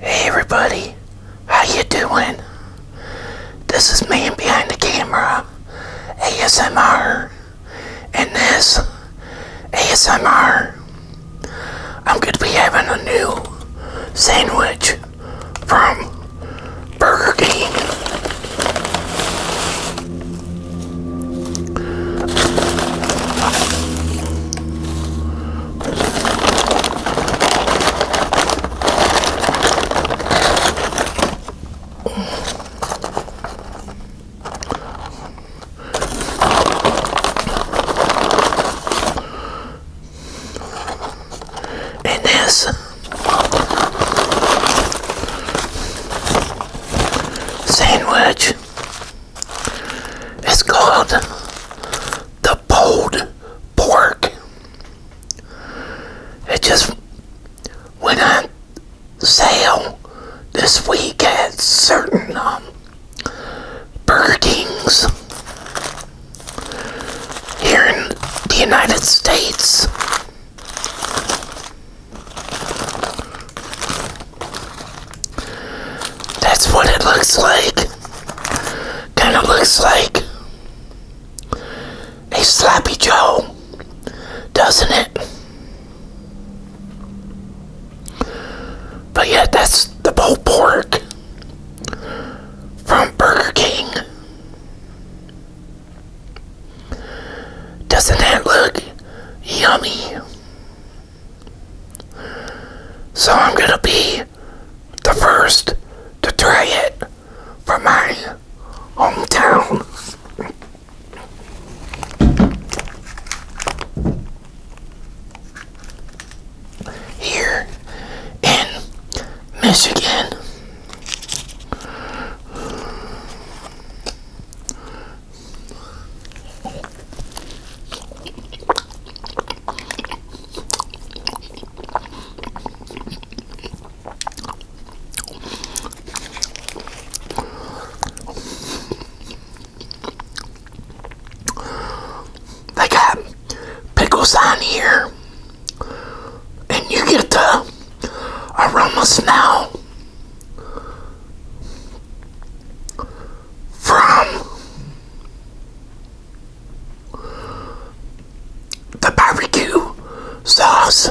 Hey everybody, how you doing? This is Man Behind the Camera, ASMR, and this ASMR. I'm going to be having a new sandwich from Burger King. And sandwich it's called the pulled pork. It just went on sale this week at certain um, Burger Kings here in the United States. That's what it looks like. Kind of looks like a sloppy Joe, doesn't it? But yeah, that's the pulled pork from Burger King. Doesn't that look yummy? So I'm going to be the first to try it for my hometown. Here in Michigan. They got pickles on here, and you get the aroma smell from the barbecue sauce.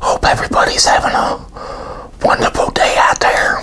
Hope everybody's having a wonderful day out there.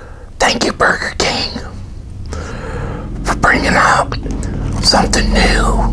Thank you, Burger King, for bringing out something new.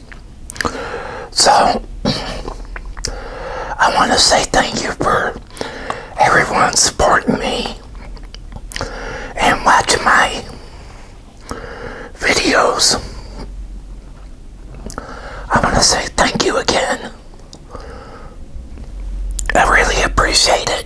So, I want to say thank you for everyone supporting me and watching my videos. I want to say thank you again. I really appreciate it.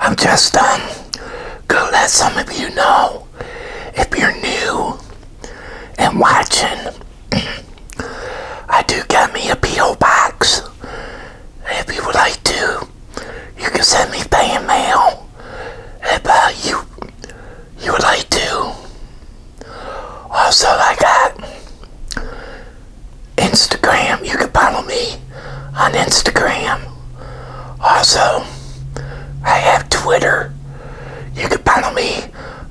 I'm just um go let some of you know if you're new and watching. I do got me a PO box. If you would like to, you can send me fan mail if uh, you you would like to. Also, I got Instagram. You can follow me on Instagram. Also, I have Twitter. You can follow me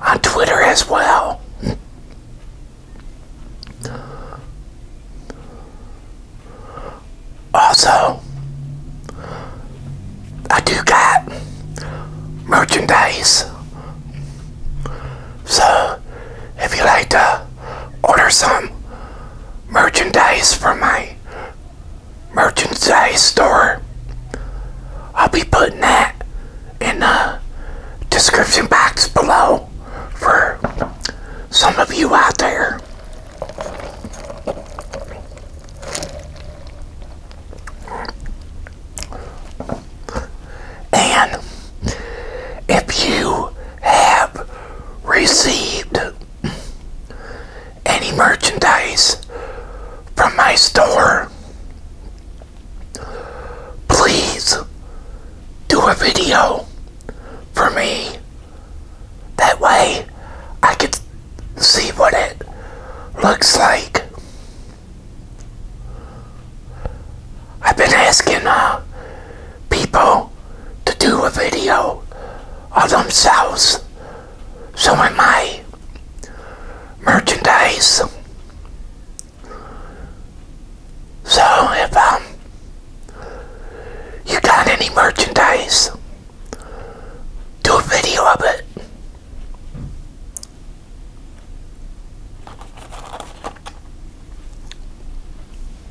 on Twitter as well. Also, I do got merchandise. So, if you like to order some merchandise from my merchandise store. I'll be putting that in the description box below for some of you out there. And if you have received any merchandise from my store, please do a video for me. That way I could see what it looks like. I've been asking uh, people to do a video of themselves So showing my merchandise. So if um, you got any merchandise, do a video of it.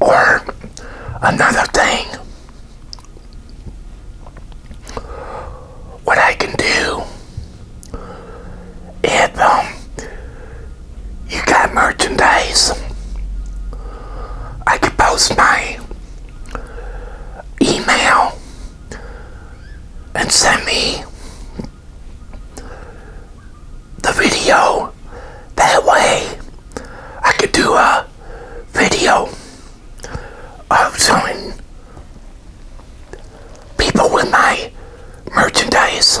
Or another thing, what I can do if um, you got merchandise, I could post my email and send me the video that way. I could do a video of selling people with my merchandise.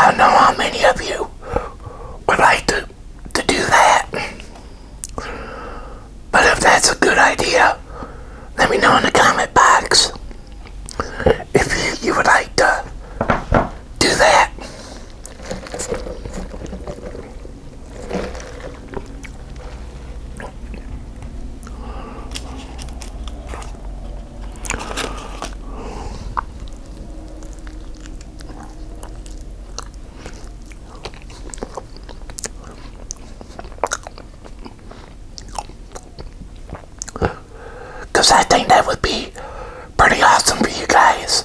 I don't know how many of you would like to, to do that. But if that's a good idea, let me know in the comment box if you, you would like to do that. Because I think that would be pretty awesome for you guys.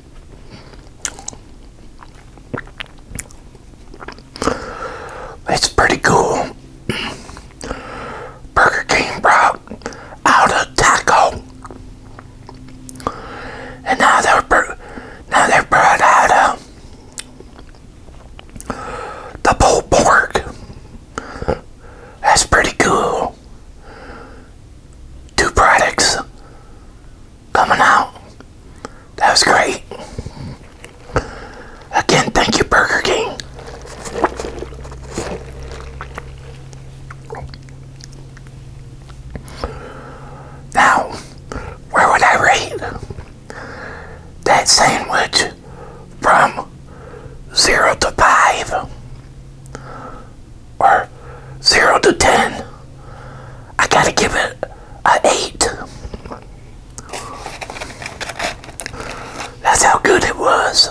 It's pretty cool. Burger King brought out a taco, and now they're now they are brought out a the pulled pork. That's pretty cool. Two products coming out. That was great. Again, thank you, Burger King. Now, where would I rate that sandwich from zero to five? or 0 to 10. I gotta give it a 8. That's how good it was.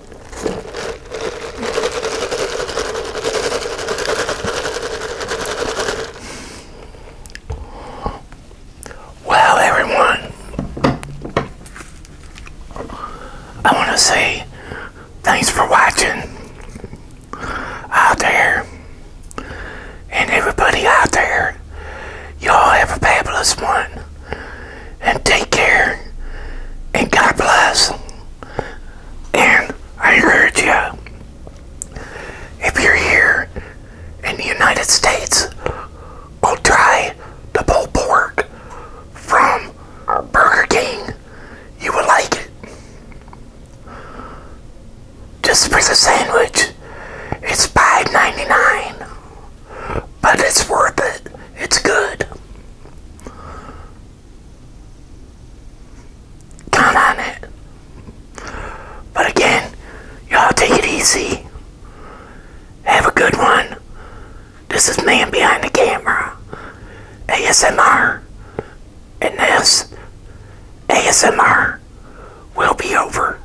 Well, everyone, I want to say thanks for watching out there, and everybody out there, y'all have a fabulous one and take care and God bless. And I urge you, if you're here in the United States, go try the pull pork from Burger King. You will like it. Just for the sandwich, it's $5.99. But it's worth it. It's good. Count on it. But again, y'all take it easy. Have a good one. This is Man Behind the Camera. ASMR. And this ASMR will be over.